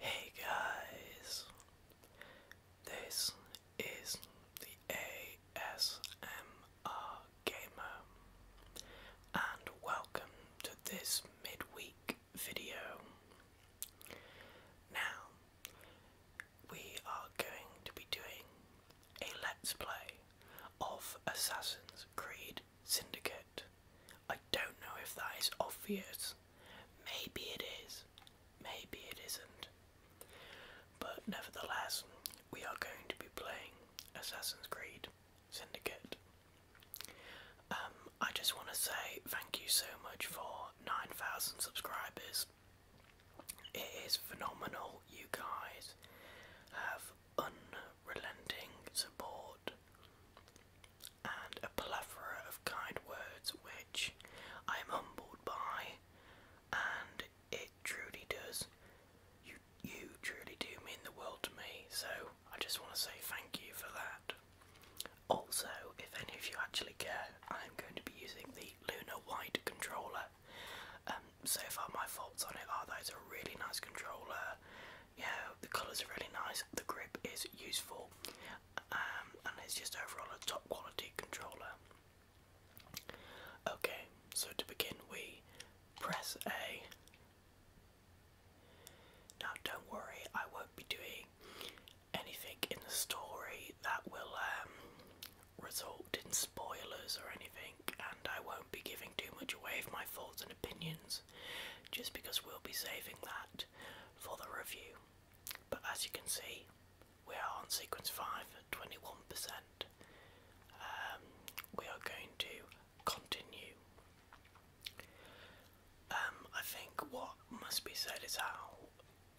Hey guys, this is the ASMR Gamer, and welcome to this midweek video. Now, we are going to be doing a let's play of Assassin's Creed Syndicate. I don't know if that is obvious. Maybe it is, maybe it isn't. But nevertheless, we are going to be playing Assassin's Creed Syndicate. Um, I just want to say thank you so much for 9,000 subscribers. It is phenomenal. You guys have unrelenting support and a plethora of kind words, which I am humbled by, and it truly does. You you truly do mean the world to me. So I just want to say thank you for that. Also, if any of you actually care, I'm going to be using the the Luna White controller. Um, so far, my faults on it are that it's a really nice controller. Yeah, the colours are really nice. The grip is useful, um, and it's just overall a top quality controller. Okay, so to begin, we press A. Now, don't worry, I won't be doing anything in the story that will um, result in spoilers or anything, and I won't be giving too much away of my thoughts and opinions just because we'll be saving that for the review. But as you can see, we are on sequence 5 at 21%. Um, we are going to continue. Um, I think what must be said is how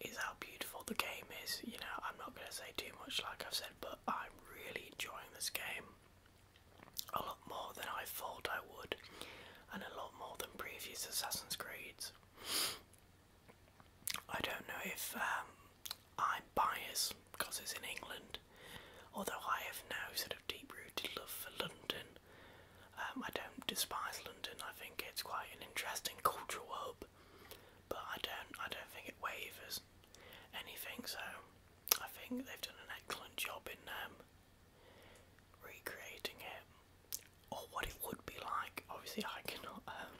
is how beautiful the game is. You know, I'm not going to say too much, like I've said, but I'm really enjoying this game a lot more than I thought I would, and a lot more than previous Assassin's Creeds. I don't know if um, I'm biased because it's in England, although I have no sort of deep rooted love for London. Um, I don't despise London, I think it's quite an interesting cultural hub but I don't I don't think it wavers anything. So I think they've done an excellent job in um, recreating it, or what it would be like. Obviously, I cannot um,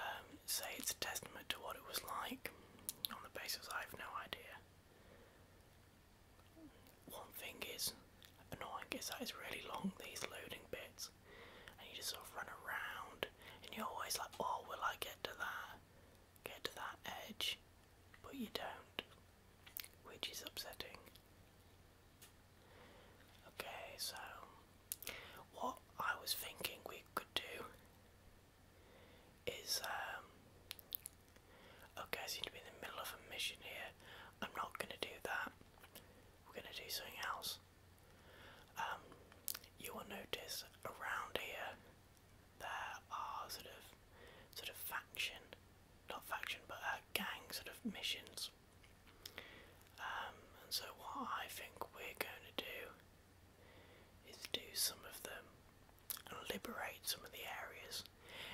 um, say it's a testament to what it was like on the basis I have no idea. One thing is annoying is that it's really long these loading bits and you just sort of run around, and you're always like, oh, will I get to that? Get to that edge, but you don't, which is upsetting. Okay, so what I was thinking we could do is, um, okay, I seem to be in the middle of a mission here. I'm not gonna do that. We're gonna do something else. Um, you will notice around here there are sort of sort of faction, not faction, but a gang sort of missions. Um, and so what I think we're going to do is do some of them and liberate some of the areas.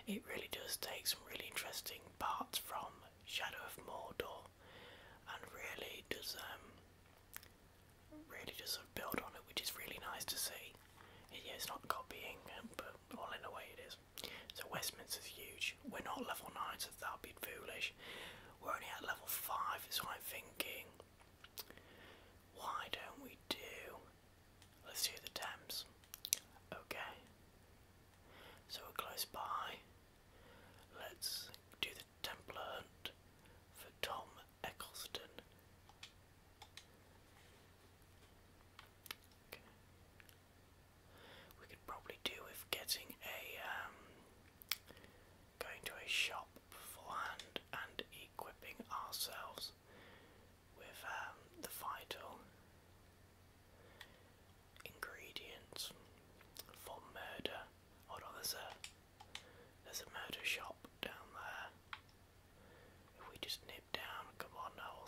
It really does take some really interesting parts from Shadow of Mordor and really does um, really does sort of build on it which is really nice to see. Yeah, it's not copying um, but all in a way it is. So Westminster's huge. We're not level nine so that'd be foolish. We're only at level five is what I'm thinking why don't we do let's do the Thames. Okay. So we're close by. Let's do the Templar Hunt for Tom Eccleston. We could probably do with getting a um, going to a shop beforehand and equipping ourselves with um, the vital ingredients for murder. Hold on, there's a there's a murder shop down there. If we just nip down, come on now,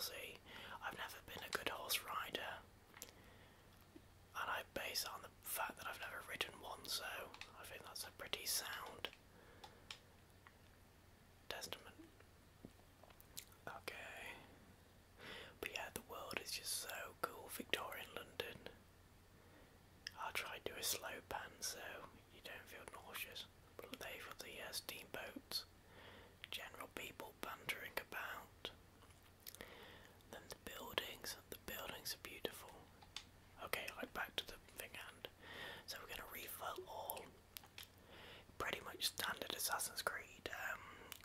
I've never been a good horse rider, and I base on the fact that I've never ridden one, so I think that's a pretty sound testament. Okay, but yeah, the world is just so cool, Victorian London. I'll try and do a slow pan so you don't feel nauseous. But they've got the uh, boats, general people bantering about. Then the buildings, the buildings are beautiful. Okay, like back to the thing hand. So we're gonna refill all pretty much standard Assassin's Creed um,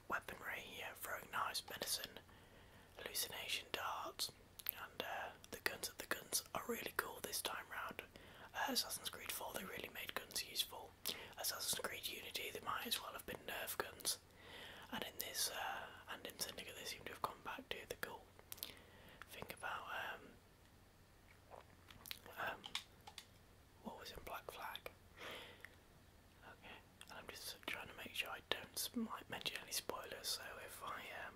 weaponry, throwing knives, medicine, hallucination darts, and uh, the guns. of The guns are really cool this time round. Uh, Assassin's Creed 4, they really made guns useful. Assassin's Creed Unity, they might as well have been Nerf guns. And in this, uh, and in Syndicate, they seem to have come back to the cool thing about um, um, what was in Black Flag. Okay, I'm just trying to make sure I don't might mention any spoilers. So if I um,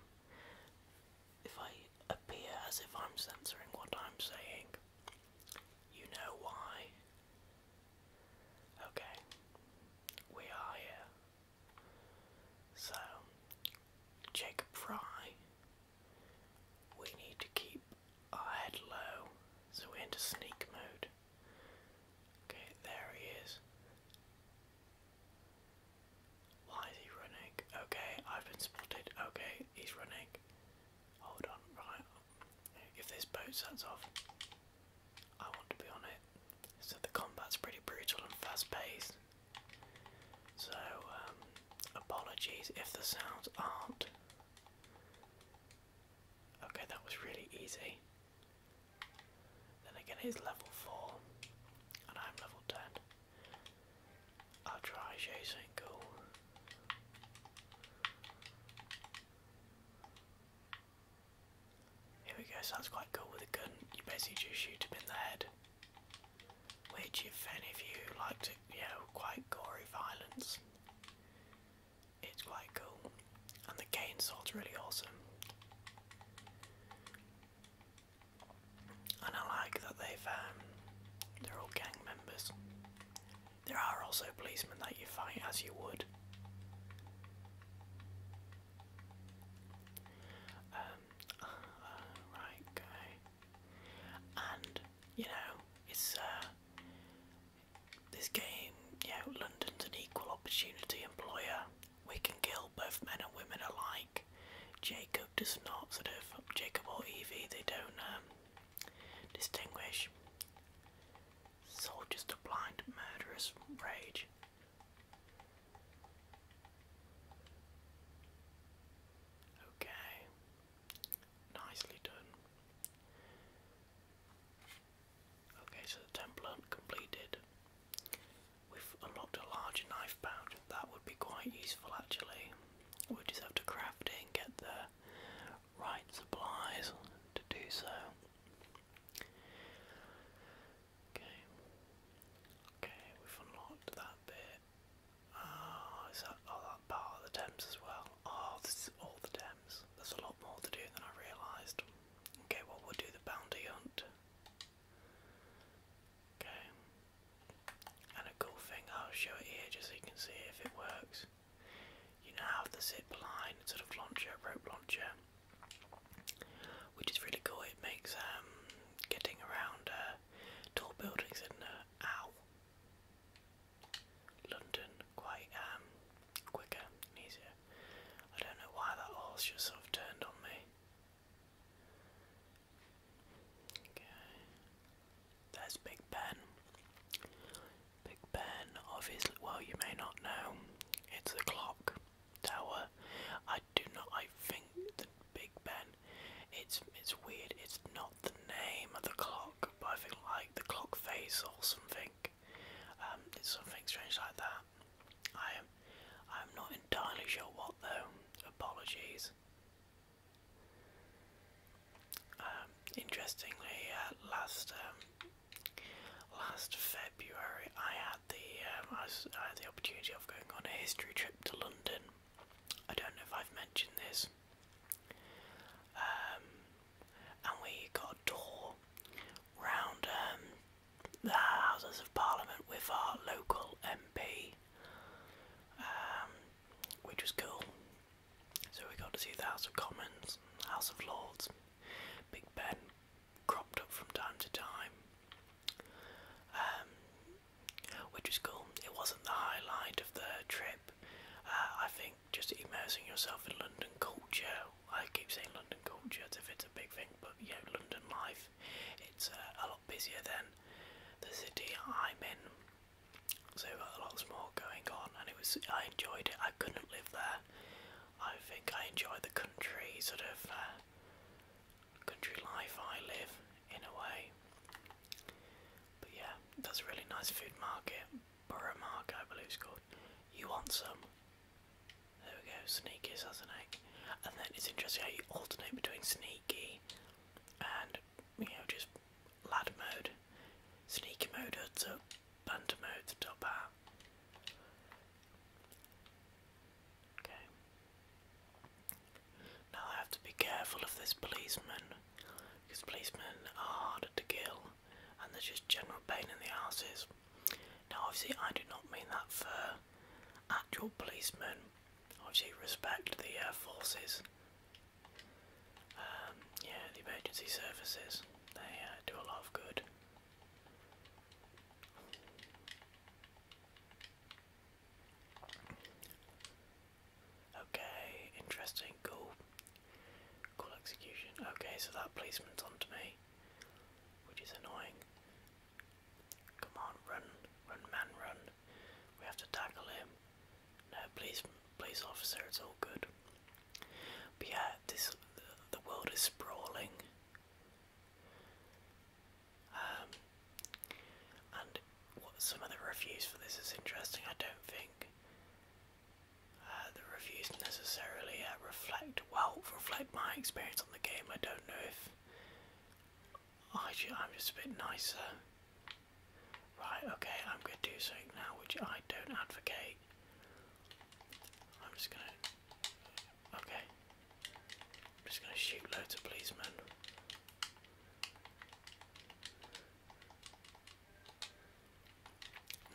if I appear as if I'm censoring what I'm saying, you know why. Okay, we are here. So, Jacob Fry, we need to keep our head low, so we're into sneak mode. Okay, there he is. Why is he running? Okay, I've been spotted. Okay, he's running. Hold on, right. If this boat sets off, I want to be on it. So the combat's pretty brutal and fast paced. So, um, apologies if the sounds aren't. Okay, that was really easy. Then again, he's level 4, and I'm level 10. I'll try Jason Go. Here we go, so quite cool with a gun. You basically just shoot him in the head. Which, if any of you like to, you know, quite gory violence, it's quite cool. And the cane salt's really awesome. And I like that they've um, they're all gang members. There are also policemen that you fight as you would. Um, right, okay. And you know, it's uh, this game, you know, London's an equal opportunity employer. We can kill both men and women alike. Jacob does not sort of Jacob or Evie. They don't um, distinguish. So just a blind murderous rage. Okay, nicely done. Okay, so the template completed. We've unlocked a larger knife pouch. That would be quite useful actually. We just have to craft it and get the right supplies to do so. Okay. Okay, we've unlocked that bit. Ah, is that oh that part of the Thames as well? Oh, this is all the Thames. There's a lot more to do than I realised. Okay, well, we'll do the bounty hunt. Okay. And a cool thing, I'll show it here just so you can see if it works. You now have the zip line sort of launcher, rope launcher, which is really cool. It makes um, getting around uh, tall buildings in uh, London quite um, quicker easier. I don't know why that horse just sort of turned on me. Okay. There's Big Ben. Big Ben, obviously, well, you may not know, it's the clock tower. I do not, I think that Big Ben, it's, it's weird, it's not the name of the clock, but I think like the clock face or something. Um, something strange like that. I am, I'm not entirely sure what though. Apologies. Um, interestingly, uh, last um, last February, I had the um, I, had the opportunity of going on a history trip to London. I don't know if I've mentioned this. and we got a tour round um, the Houses of Parliament with our local MP, um, which was cool. So we got to see the House of Commons, House of Lords, Big Ben cropped up from time to time, um, which was cool. It wasn't the highlight of the trip. Uh, I think just immersing yourself in London culture. I keep saying London culture as if it's a big thing, but you London life, it's uh, a lot busier than the city I'm in. So a lot more going on, and it was I enjoyed it. I couldn't live there. I think I enjoy the country sort of uh, country life I live in a way. But yeah, that's a really nice food market. Borough Market, I believe it's called. You want some? There we go, sneaky Sazanac. And then it's interesting how you alternate between sneaky and, you know, just lad mode. Sneaky mode hoods up, banter mode the top hat. Okay. Now I have to be careful of this policeman, because policemen are harder to kill and there's just general pain in the asses. Now, obviously, I do not mean that for actual policemen. Obviously, respect the uh, forces. Um, yeah, the emergency services. They uh, do a lot of good. Okay, interesting, cool. Cool execution. Okay, so that policeman's onto me which is annoying. Come on, run, run, man, run. We have to tackle him. No, please, police officer, it's all good. But yeah, this the, world is sprawling. Um, and what some of the reviews for this is interesting. I don't think uh, the reviews necessarily uh, reflect well reflect my experience on the game. I don't know if I should, I'm just a bit nicer. Right, okay, I'm gonna do something now which I don't advocate. I'm just gonna okay. I'm just gonna shoot loads of policemen.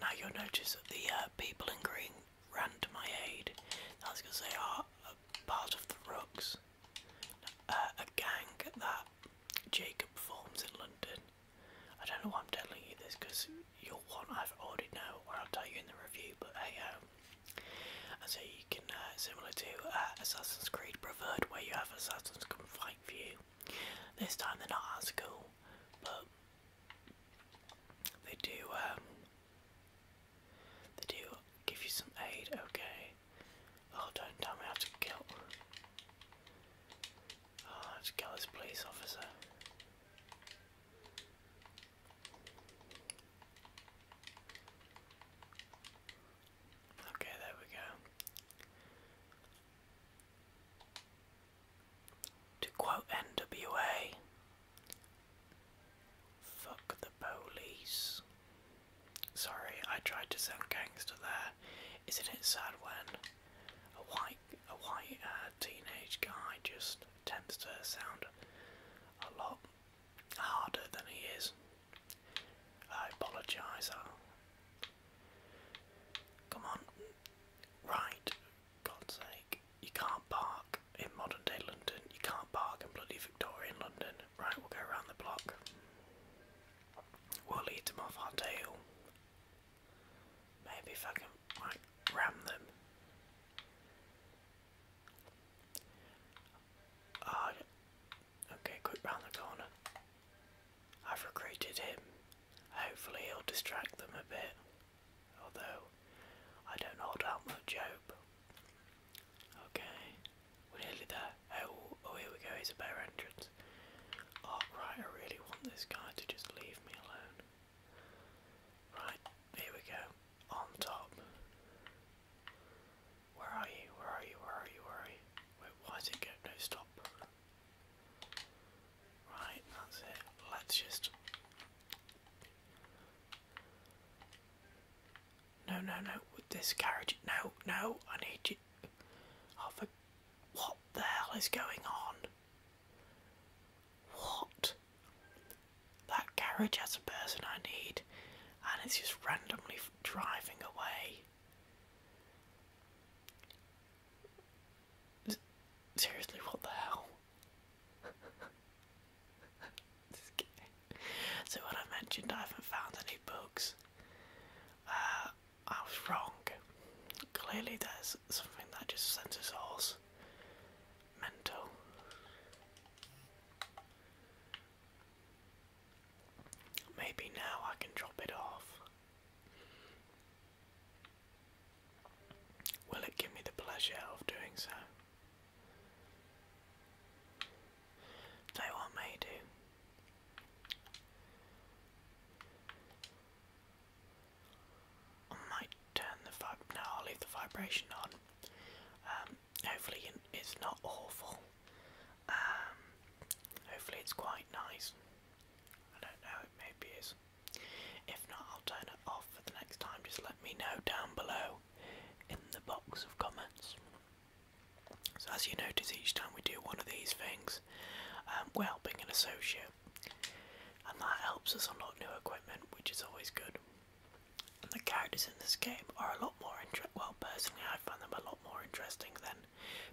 Now you'll notice that the uh, people in green ran to my aid. That's because they are part of the Rooks, uh, a gang that Jacob forms in London. I don't know why I'm telling you this because you'll want I've already know, or I'll tell you in the review. But hey, um, so you can uh, similar to Assassin's Creed Brotherhood, where you have assassins come fight for you. This time they're not as cool, but they do, um, they do give you some aid, okay. Oh, don't tell me I to kill. Oh, I to kill this police officer. Okay, there we go. To quote NWA, fuck the police. Sorry, I tried to sound gangster there. Isn't it sad when a white a white uh, teenage guy just tends to sound a lot harder than he is? I apologise. Come on. Right, God's sake. You can't park in modern day London. You can't park in bloody Victorian London. Right, we'll go around the block. We'll lead them off our tail. Maybe if I can like, ram them. Uh, okay, quick round the corner. I've recruited him. Hopefully he'll distract them a bit. Although, I don't hold out much hope. Okay, we're nearly there. Oh, oh here we go, here's a better entrance. Oh, right, I really want this guy to just leave me alone. Right, here we go. On top. Where are you? Where are you? Where are you? Where Wait, why did it go? No, stop. Right, that's it. Let's just. No, no, no. With this carriage. No, no. I need you. Oh, for... What the hell is going on? What? That carriage has a person I need, and it's just randomly driving away. Seriously, what the hell? So when I mentioned I haven't found any bugs, uh, I was wrong. Clearly there's something that just sends us horse. Mental. Maybe now I can drop it off. Will it give me the pleasure of doing so? Tell what may do. I might turn the vib. No, I'll leave the vibration on. Um, hopefully, it's not awful. Um, hopefully, it's quite nice. I don't know. It maybe is. If not, I'll turn it off for the next time. Just let me know down below in the box of comments. as you notice, each time we do one of these things, um, we're helping an associate, and that helps us unlock new equipment, which is always good. the characters in this game are a lot more interesting. Well, personally, I find them a lot more interesting than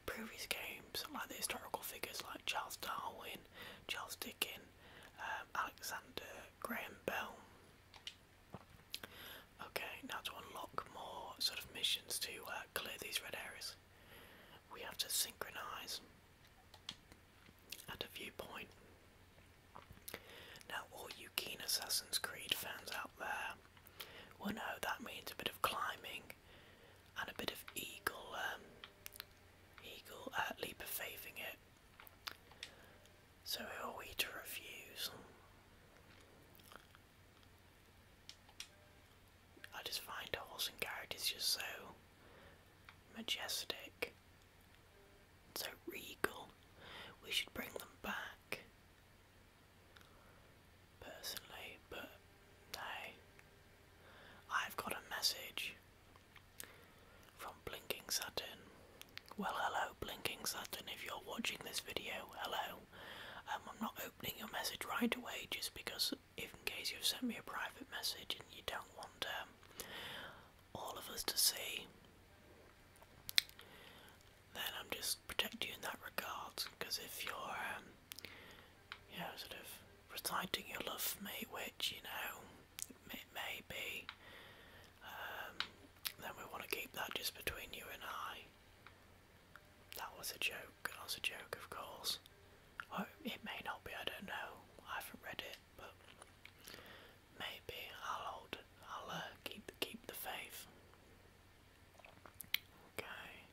previous games, like the historical figures like Charles Darwin, Charles Dickens, um, Alexander Graham Bell. Okay, now to unlock more sort of missions to uh, clear these red areas, we have to synchronize at a viewpoint. Now, all you keen Assassin's Creed fans out there will know that means a bit of climbing and a bit of eagle um, Eagle at leaping it. So who are we to refuse? I just find horse and carriage is just so majestic. So regal. We should bring them back. Personally, but no. I've got a message from Blinking Saturn. Well, hello, Blinking Saturn, if you're watching this video, hello. Um, I'm not opening your message right away just because, if in case you've sent me a private message and you don't want um, all of us to see, then I'm just protecting you in that regard. Because if you're um, you sort of reciting your love for me, which, you know, it may be, um, then we want to keep that just between you and I. That was a joke, that was a joke, of course. Oh, it may not be, I don't know, I haven't read it, but maybe I'll hold, I'll uh, keep, keep the faith. Okay.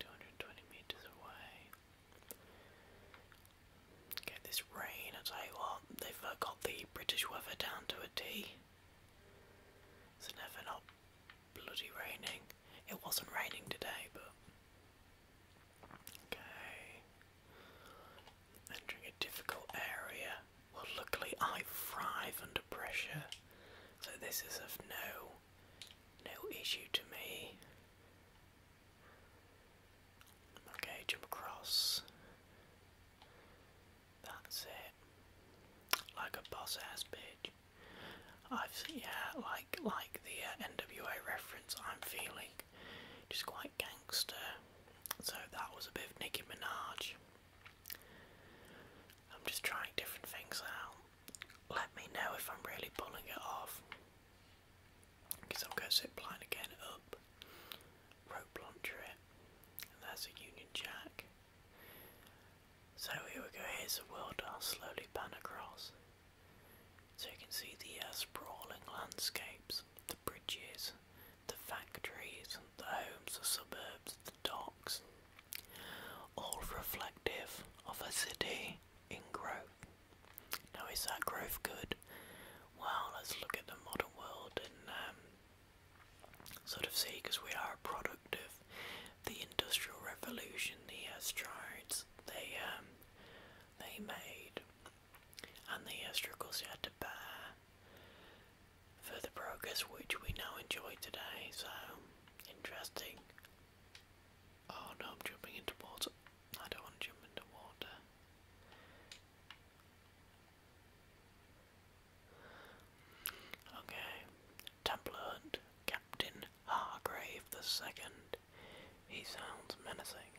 220 meters away. Get this rain, I tell you what, they've uh, got the British weather down to a T. It's never not bloody raining. It wasn't raining today, but. Okay. Entering a difficult area. Well, luckily I thrive under pressure, so this is of no no issue to me. Okay, jump across. That's it. Like a boss ass bitch. I've yeah, like like the uh, NWA reference. I'm feeling just quite gangster. So that was a bit of Minaj. I'm just trying different things out let me know if I'm really pulling it off. Because I'll go zip line again up, rope launcher there's a Union Jack. So here we go, here's the world I'll slowly pan across. So you can see the uh, sprawling landscapes, the bridges, the factories, the homes, the suburbs, the docks, all reflective of a city in growth. Now, is that growth good? Well, let's look at the modern world and um, sort of see, because we are a product of the Industrial Revolution, the uh, strides they um, they made, and the uh, struggles they had to bear for the progress which we now enjoy today. So interesting. Oh no, I'm jumping into water. I don't want to jump into water. Okay, Templar Captain Hargrave the Second. He sounds menacing.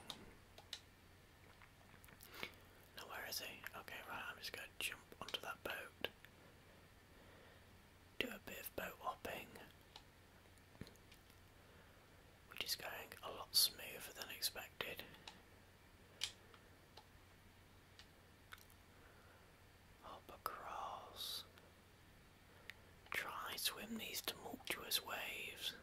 Now where is he? Okay, right, I'm just going to jump onto that boat do a bit of boat hopping, which is going a lot smoother than expected. Hop across, try swim these tumultuous waves.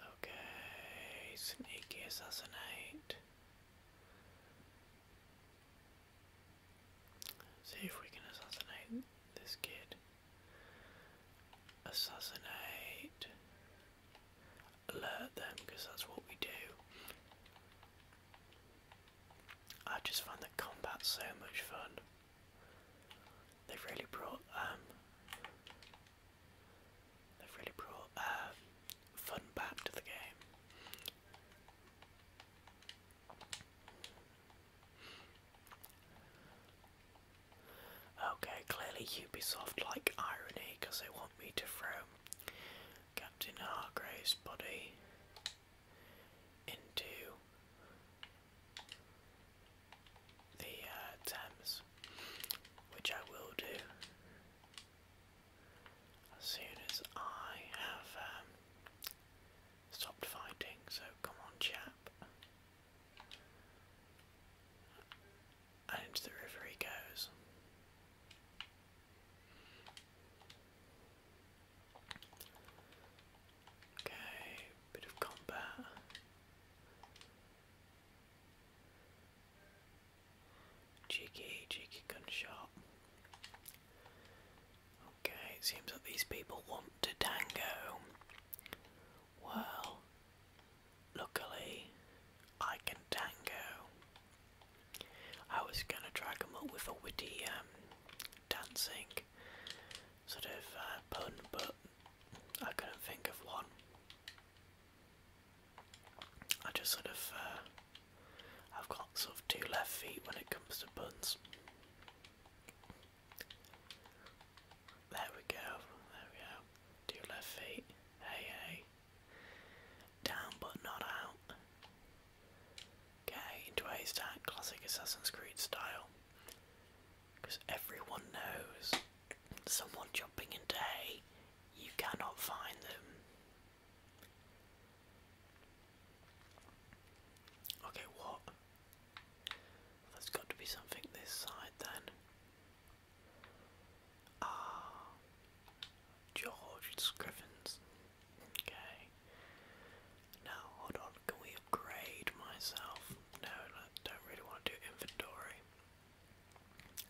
Okay, sneaky assassinate. See if we can assassinate this kid. Assassinate. Alert them, because that's what we do. I just find the combat so much fun. They've really brought um, They've really brought uh, fun back to the game. Okay, clearly Ubisoft like irony because they want me to throw Captain Hargrave's body into the uh, Thames, which I will do. As soon as I have um, stopped fighting, so come on, chap. And the river he goes. Okay, bit of combat. Cheeky, cheeky gunshot. Okay, it seems that these people want to tango. Well, luckily, I can tango. I was gonna drag them up with a witty um, dancing sort of uh, pun, but I couldn't think of one. I just sort of, uh, I've got sort of two left feet when it comes to buns. There we go, there we go. Two left feet, hey hey. Down but not out. Okay, into a stack, classic Assassin's Creed style. Because everyone knows someone jumping into hay, you cannot find them. Okay, what? There's got to be something this side then. Ah, George Scrivens. Okay. Now, hold on, can we upgrade myself? No, I don't really want to do inventory.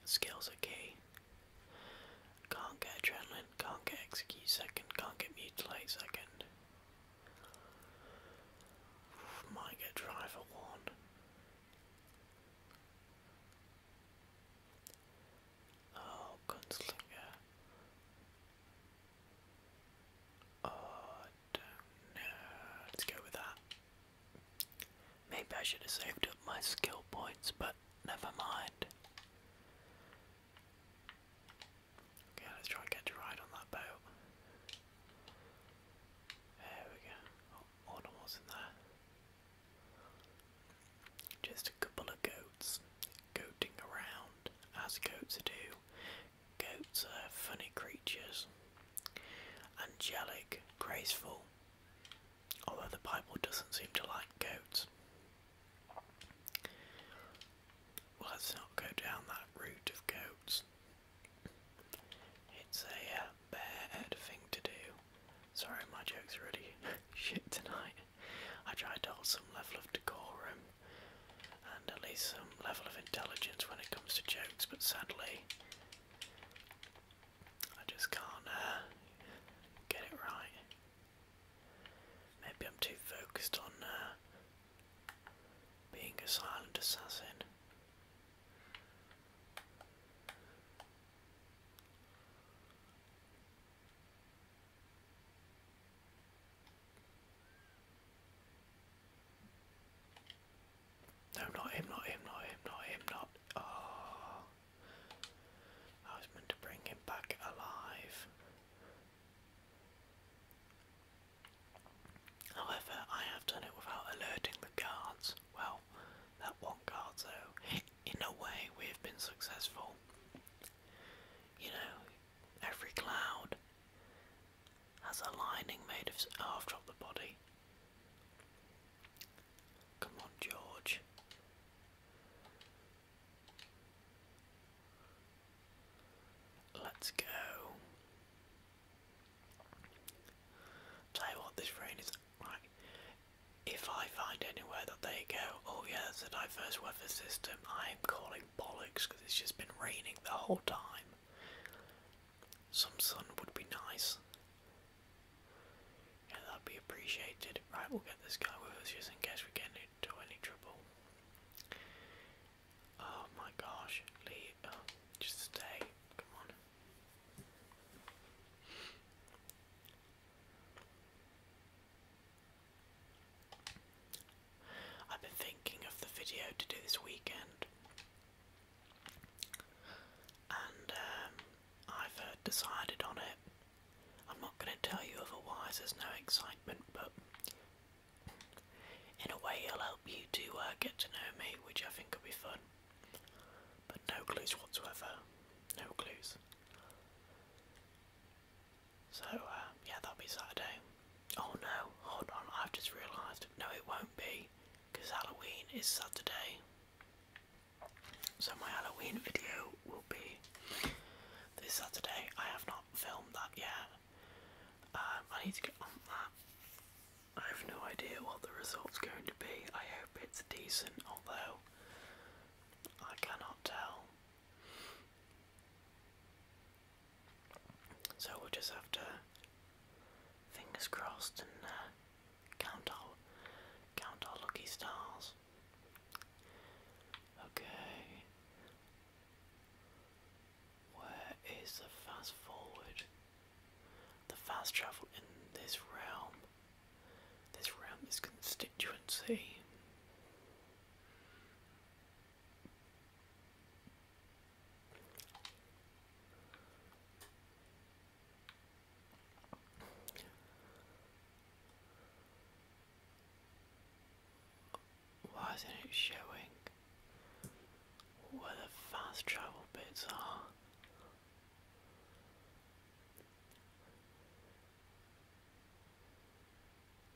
Skills okay. Can't get adrenaline, can't get execute second, can't get mutilate second. Might get driver one. Oh, gunslinger. Oh, I Let's go with that. Maybe I should have saved up my skill points, but never mind. Okay, let's try and get to ride on that boat. There we go. Oh, in there. Just a couple of goats goating around, as goats do. Goats are funny creatures. Angelic, graceful, although the Bible doesn't seem to like goats. Well, let's not go down that route of goats. It's a uh, bad thing to do. Sorry, my joke's are really shit tonight. I try to hold some level of decorum and at least some level of intelligence when it comes to jokes, but sadly, I just can't uh, get it right. Maybe I'm too focused on uh, being a silent assassin. No, not him, not him, not him, not him, not. Oh. I was meant to bring him back alive. However, I have done it without alerting the guards. Well, that one guard, so in a way, we have been successful. You know, every cloud has a lining made of. Oh, i the body. Come on, George. Let's go. Tell you what, this rain is If I find anywhere that they go, oh yeah, that's a diverse weather system, I am calling bollocks because it's just been raining the whole time. Some sun would be nice that'd be appreciated. Right, we'll get this guy with us just in case we get into any trouble. Oh my gosh, Lee, uh, just stay, come on. I've been thinking of the video to do this weekend, and um, I've uh, decided on it. I'm not going to tell you otherwise, there's no excitement, but in a way it'll help you to uh, get to know me, which I think will be fun. But no clues whatsoever. No clues. So, uh, yeah, that'll be Saturday. Oh no, hold on, I've just realised. No, it won't be, because Halloween is Saturday. So my Halloween video will be this Saturday. I have not filmed that yet. Um, I need to get on that. I have no idea what the result's going to be. I hope it's decent, although I cannot tell. So we'll just have to fingers crossed and uh, Count all, count all lucky stars. Okay. Where is the fast forward? The fast travel in this realm. This realm is constituency. Why not it showing where the fast travel bits are?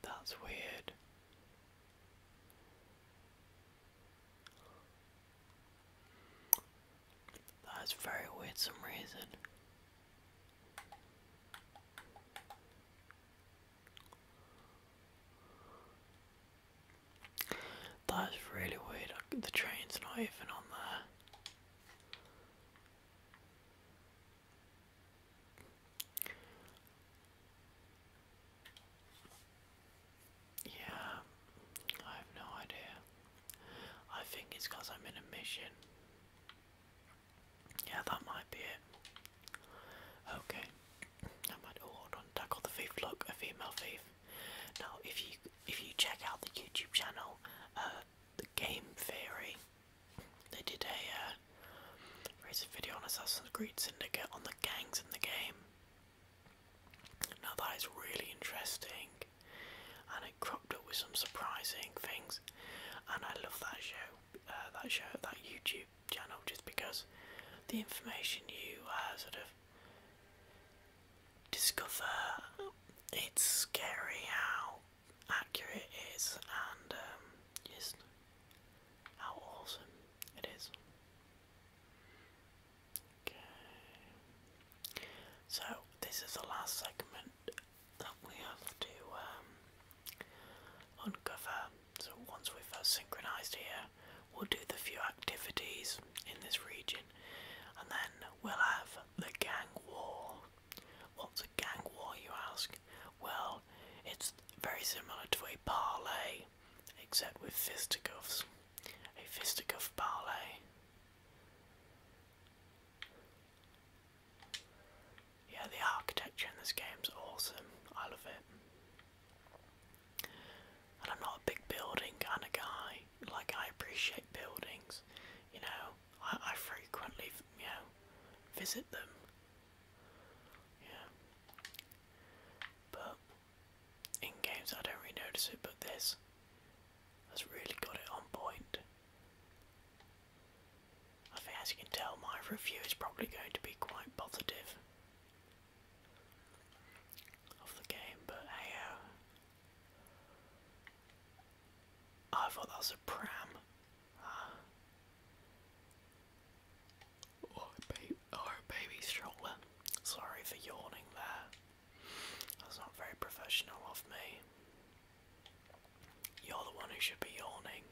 That's weird. That's very weird some reason. That's really weird. The train's not even on there. Yeah, I have no idea. I think it's because I'm in a mission. Yeah, that might be it. Okay. I might oh hold on, tackle the thief, look, a female thief. Now if you if you check out the YouTube channel, uh, the game theory, they did a uh, recent video on Assassin's Creed Syndicate on the gangs in the game. Now that is really interesting and it cropped up with some surprising things, and I love that show, uh, that show, that YouTube channel, just because the information you uh, sort of discover, it's scary how accurate it is, and um, just how awesome it is. So this is the last segment that we have to um, uncover. So once we have uh, synchronised here, we'll do the few activities in this region, and then we'll have the gang war. What's a gang war, you ask? Well, it's very similar to a parley, except with fisticuffs. A fisticuff parley. Yeah, the architecture in this game's awesome. I love it. And I'm not a big building kind of guy. Like, I appreciate buildings. You know, I, I frequently, you know, visit them. Yeah. But in games I don't really notice it, but this has really got it on point. I think, as you can tell, my review is probably going to be quite positive of the game, but hey, uh, I thought that was a pram. Ah. or oh, oh, a baby stroller. Sorry for yawning there. That's not very professional of me. You're the one who should be yawning.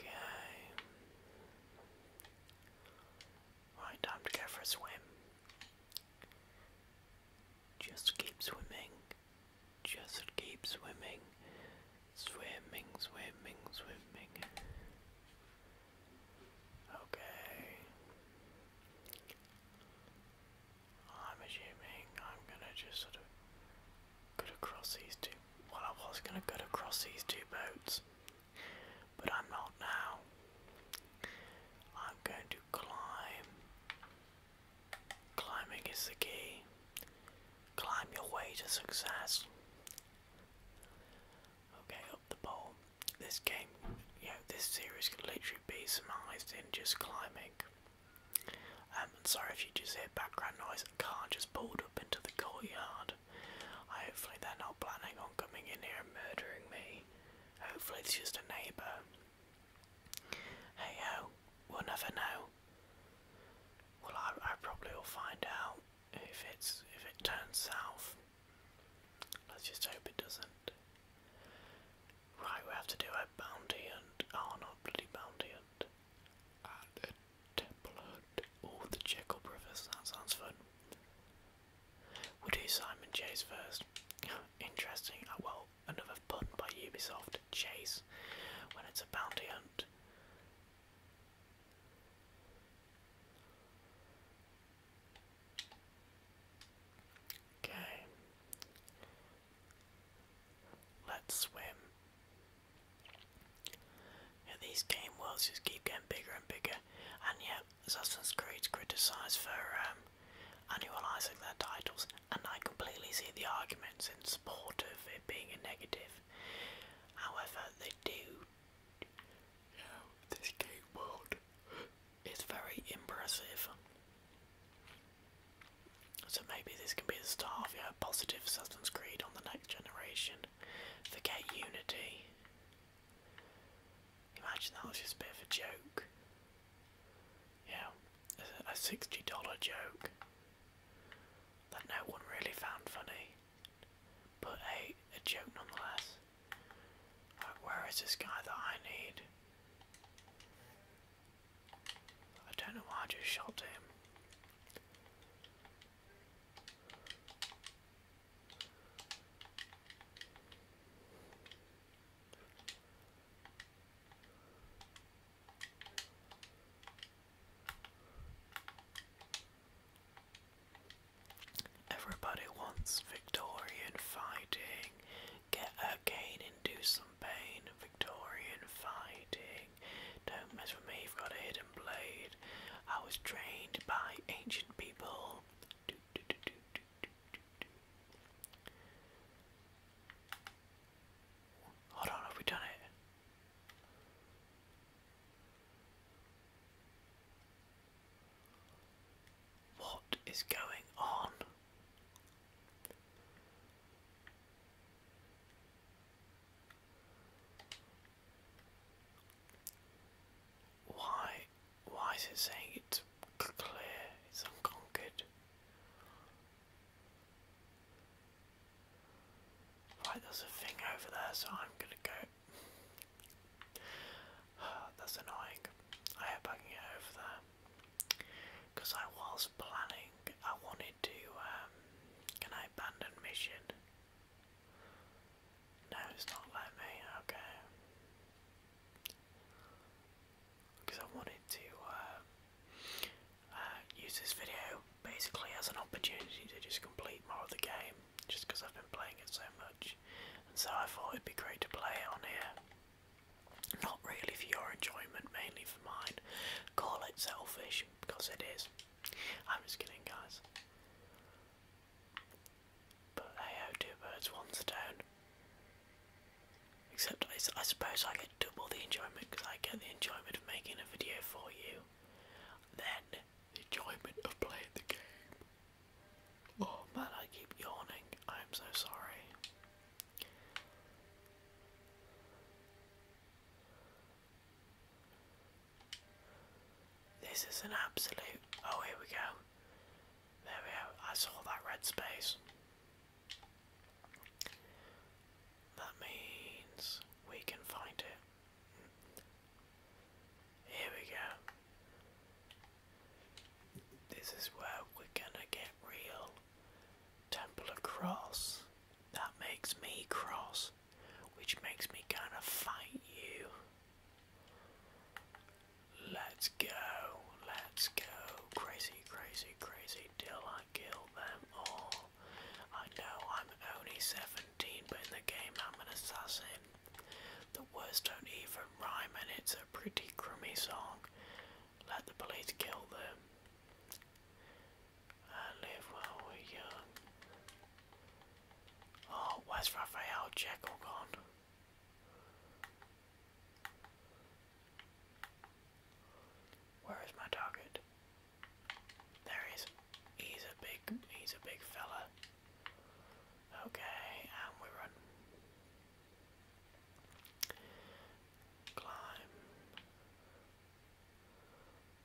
Okay. Right, time to go for a swim. Just keep swimming. Just keep swimming. Swimming, swimming, swimming. Okay. I'm assuming I'm gonna just sort of go across these two. Well, I was gonna go across these two boats, but I'm not now. I'm going to climb. Climbing is the key. Climb your way to success. Okay, up the pole this game, you know, this series could literally be summarised in just climbing. Um, and sorry if you just hear background noise, a car just pulled up into the courtyard. hopefully they're not planning on coming in here and murdering me. Hopefully it's just a neighbour. Hey ho, we'll never know. Well, I, I probably will find out if it's if it turns south. Let's just hope it doesn't. Right, we have to do a bounty hunt. Oh, not bloody bounty hunt. And a Oh, the Jekyll brothers. That sounds fun. we do Simon Chase first. Interesting. Oh, well, another pun by Ubisoft. Chase. When it's a bounty hunt. Okay. Let's swim. Yeah, these game worlds just keep getting bigger and bigger. And yet, Assassin's Creed's criticise for um, annualising their titles, and I completely see the arguments in support of it being a negative. However, they do yeah, this game world is very impressive. So maybe this can be the start of a positive substance Creed on the next generation. Forget Unity. Imagine that was just a bit of a joke. Yeah, a $60 joke that no one really found funny but a, a joke nonetheless. Right, where is this guy that I need? I don't know why I just shot him. Everybody wants Victorian fighting. Get a cane and do some pain. Victorian fighting. Don't mess with me, you've got a hidden blade. I was trained by ancient people. Hold on, have we done it? What is going on? Why why is it saying clear, it's unconquered? Right, there's a thing over there, so I'm gonna go That's annoying. I hope I can over there. Because I was planning, I wanted to. Um, can I abandon mission? No, it's not let me. Okay. Because I wanted to uh, uh, use this video basically as an opportunity to just complete more of the game just because I've been playing it so much, and so I thought it'd be great to play it on here. Not really for your enjoyment, mainly for mine. Call it selfish because it is. I'm just kidding, guys. But hey, oh, two birds, one stone. Except I, I suppose I get double the enjoyment because I get the enjoyment of making a video for you, then the enjoyment of playing the game. Oh man, I keep yawning. I'm so sorry. This is an absolute. Oh, here we go. There we go. I saw that red space. That means we can find it. Here we go. This is where we're gonna get real. Temple of That makes me cross, which makes me kind of fight you. Let's go, let's go. Crazy, crazy, crazy till I kill them all. I know I'm only 17, but in the game I'm an assassin. The words don't even rhyme and it's a pretty crummy song. Let the police kill them. I live while we're young. Oh, where's Raphael Jekyll gone? Where is my target? There he is. He's a big, he's a big fella. Okay, and um, we run. Climb.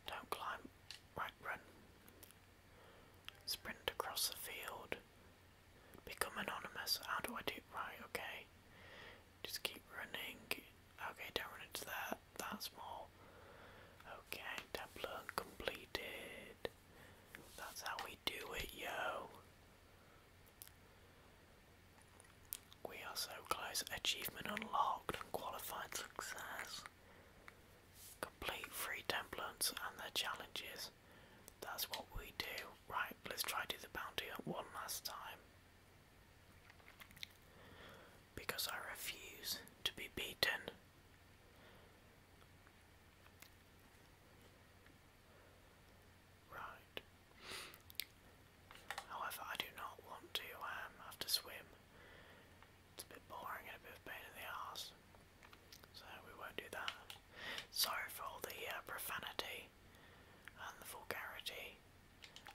Don't climb. Right, run. Sprint across the field. Become anonymous. How do I do right? Okay. Just keep running. Okay, don't run into that. That's more. Okay, tablet completed. That's how we do it, yo. We are so close. Achievement unlocked and qualified success. Complete free templates and their challenges. That's what we do. Right, let's try to do the bounty one last time. Because I refuse to be beaten. Right. However, I do not want to um, have to swim. It's a bit boring and a bit of pain in the arse. So we won't do that. Sorry for all the uh, profanity and the vulgarity.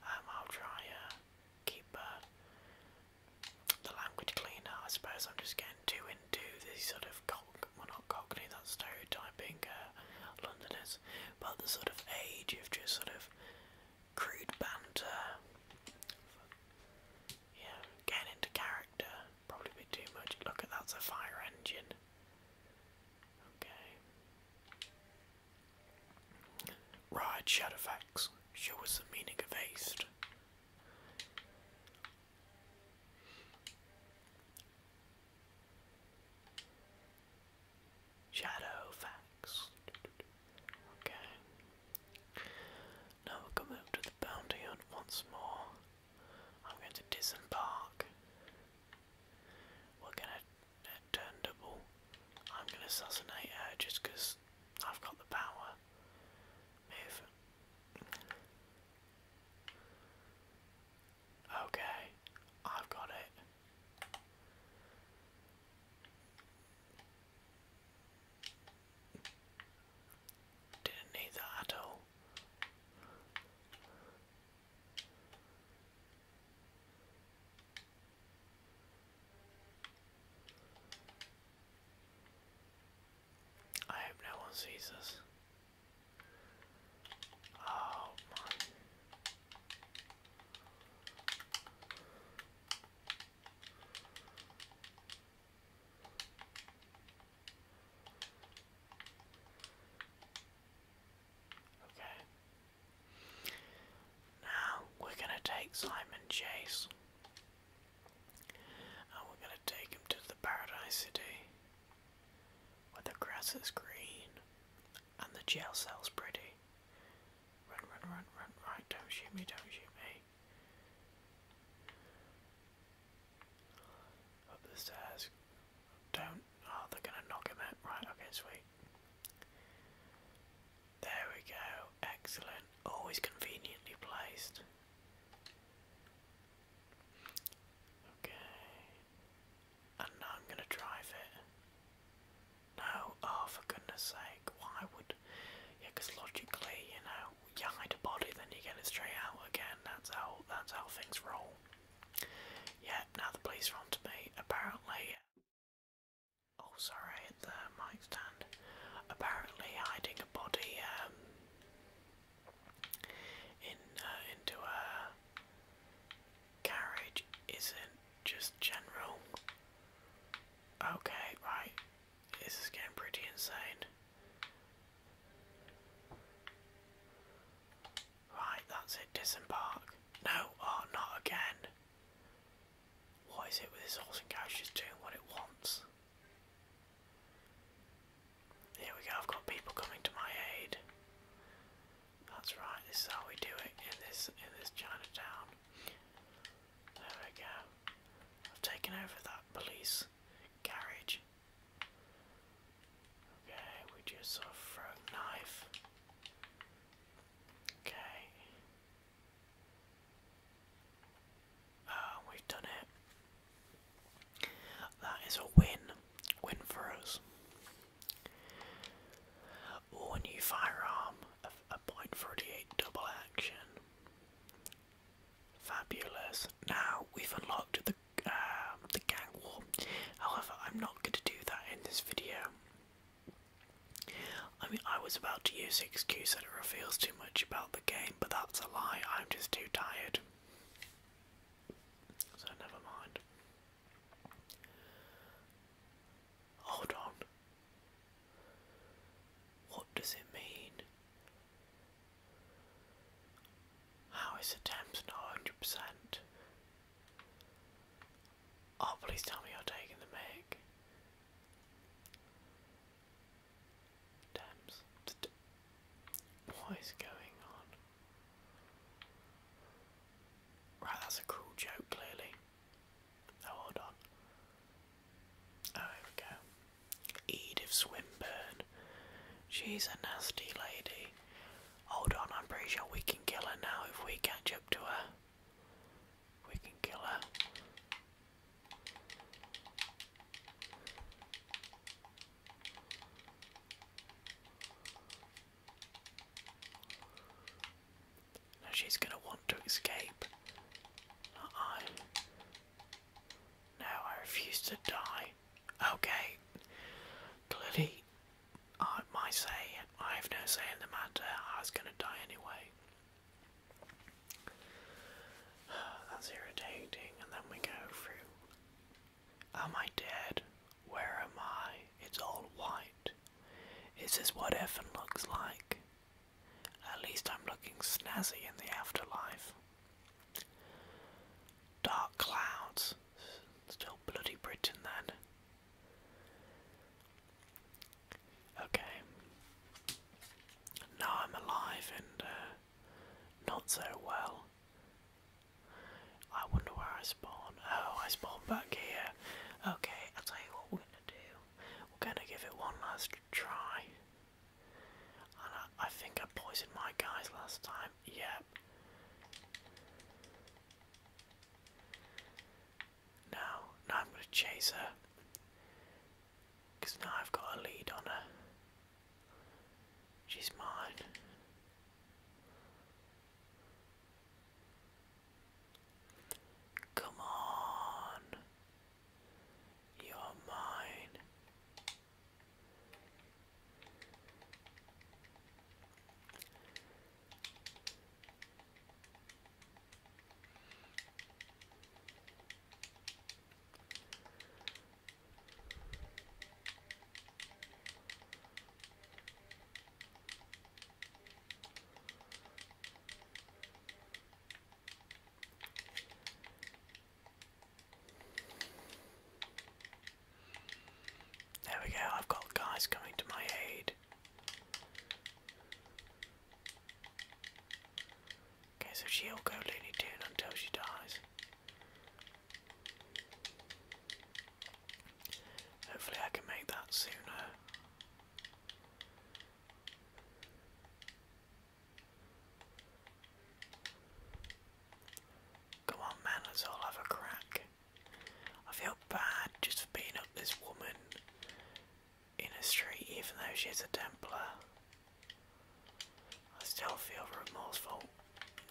Um, I'll try uh, keep uh, the language cleaner. I suppose I'm just getting too into the sort of cock, well not cockney, that's stereotyping uh, Londoners, but the sort of age of just sort of crude banter. Yeah, getting into character, probably a bit too much. Look at that's a fire engine. Okay. Right, Shadowfax, show us the meaning of haste. Shadow Okay. Now we'll come up to the boundary hunt once more. I'm going to disembark. We're gonna uh, turn double. I'm gonna assassinate her just because I've got the power. Move. Okay, I've got it. Didn't need that at all. I hope no one sees us. Oh, okay. Now we're going to take Simon Chase and we're gonna take him to the Paradise City, where the grass is green and the jail cell's pretty. Run, run, run, run, right, don't shoot me, don't shoot me. Up the stairs. Don't. Oh, they're gonna knock him out. Right, okay, sweet. There we go. Excellent. Always oh, conveniently placed. Okay. And now I'm gonna drive it. No, oh for goodness sake, why would yeah, because logically, you know, you hide a body then you get it straight out again, that's how that's how things roll. Yeah, now the police are on to me, apparently Oh sorry, the mic stand. Apparently hiding a body, um in uh, into a carriage isn't just general. Okay, right. This is getting pretty insane. Right, that's it. Disembark. No, oh, not again. What is it with this horse and carriage just doing what it wants? Here we go, I've got people coming to my aid. That's right, this is how we do it in this in this Chinatown. There we go. I've taken over that police carriage. Okay, we just sort of throw knife. Okay. Ah, we've done it. That is a win. Win for us. a new firearm. A, a double action. Fabulous. Now, we've unlocked the, um, the gang war. However, I'm not going to do that in this video. I mean, I was about to use the excuse that it reveals too much about the game, but that's a lie. I'm just too tired. So never mind. Hold on. What does it mean? How is the not 100%? Oh, please tell me you're taking the mic. Dams. What is going on? Right, that's a cool joke, clearly. Oh, hold on. Oh, here we go. Edith Swinburne. She's a nasty lady. Hold on, I'm pretty sure we can kill her now if we catch up to her. We can kill her. Now she's going to want to escape. Not I. No, I refuse to die. Okay. Clearly, I, my say, I have no say in the matter. I was going to die anyway. That's irritating. And then we go through. Am I dead? Where am I? It's all white. Is what heaven looks like? At least I'm looking snazzy in the afterlife. Dark clouds. Still bloody Britain then. Okay now I'm alive and uh, not so well. I wonder where I spawn. Oh, I spawn back here. Okay, I'll tell you what we're gonna do. We're gonna give it one last try. And I, I think I poisoned my guys last time. Yep. Now, now I'm gonna chase her. Because now I've got a lead on her. She's mine. Come on. You're mine. There we go, I've got guys coming to my aid. Okay, so she'll go Looney Tune until she dies. Hopefully, I can make that sooner. Come on, man, let's all have a crack. I feel bad just for beating up this woman in a street, even though she's a Templar. I still feel remorseful.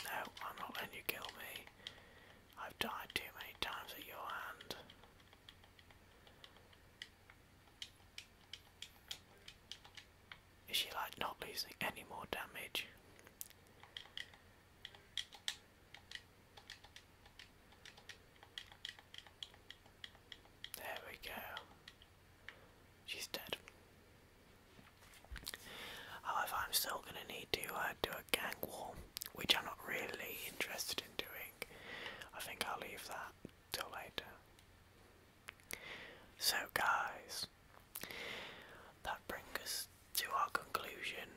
No, I'm not letting you kill me. I've died too many times at your hand. Is she like not losing any more damage? There we go. She's dead. However, oh, I'm still going to need to uh, do a gang war, which I'm not really interested in doing. I think I'll leave that till later. So, guys, that brings us to our conclusion.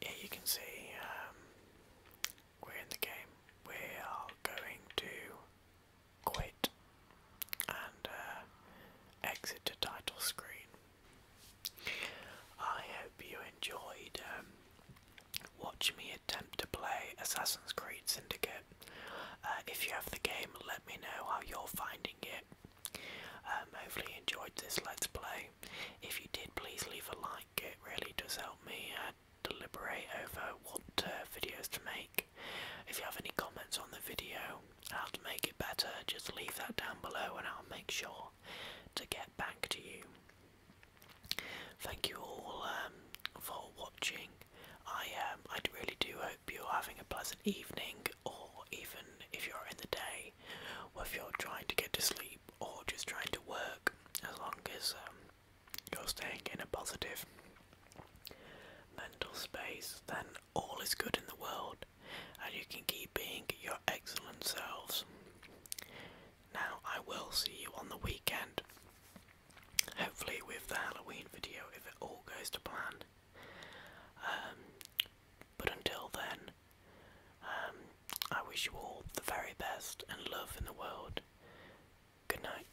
Here you can see um, we're in the game. We are going to quit and uh, exit to title screen. I hope you enjoyed um, watching me attempt to play Assassin's Creed Syndicate. Uh, if you have the game, let me know how you're finding it. Um, hopefully you enjoyed this Let's Play. If you did, please leave a like, it really does help me uh, deliberate over what uh, videos to make. If you have any comments on the video, how to make it better, just leave that down below and I'll make sure to get back to you. Thank you all um, for watching. I um, I really do hope you're having a pleasant evening, or even if you're in the day, or if you're trying to get to sleep or just trying to work. As long as um, you're staying in a positive mental space, then all is good in the world and you can keep being your excellent selves. Now, I will see you on the weekend, hopefully, with the Halloween video if it all goes to plan. Um, but until then, um, I wish you all the very best and love in the world. Good night.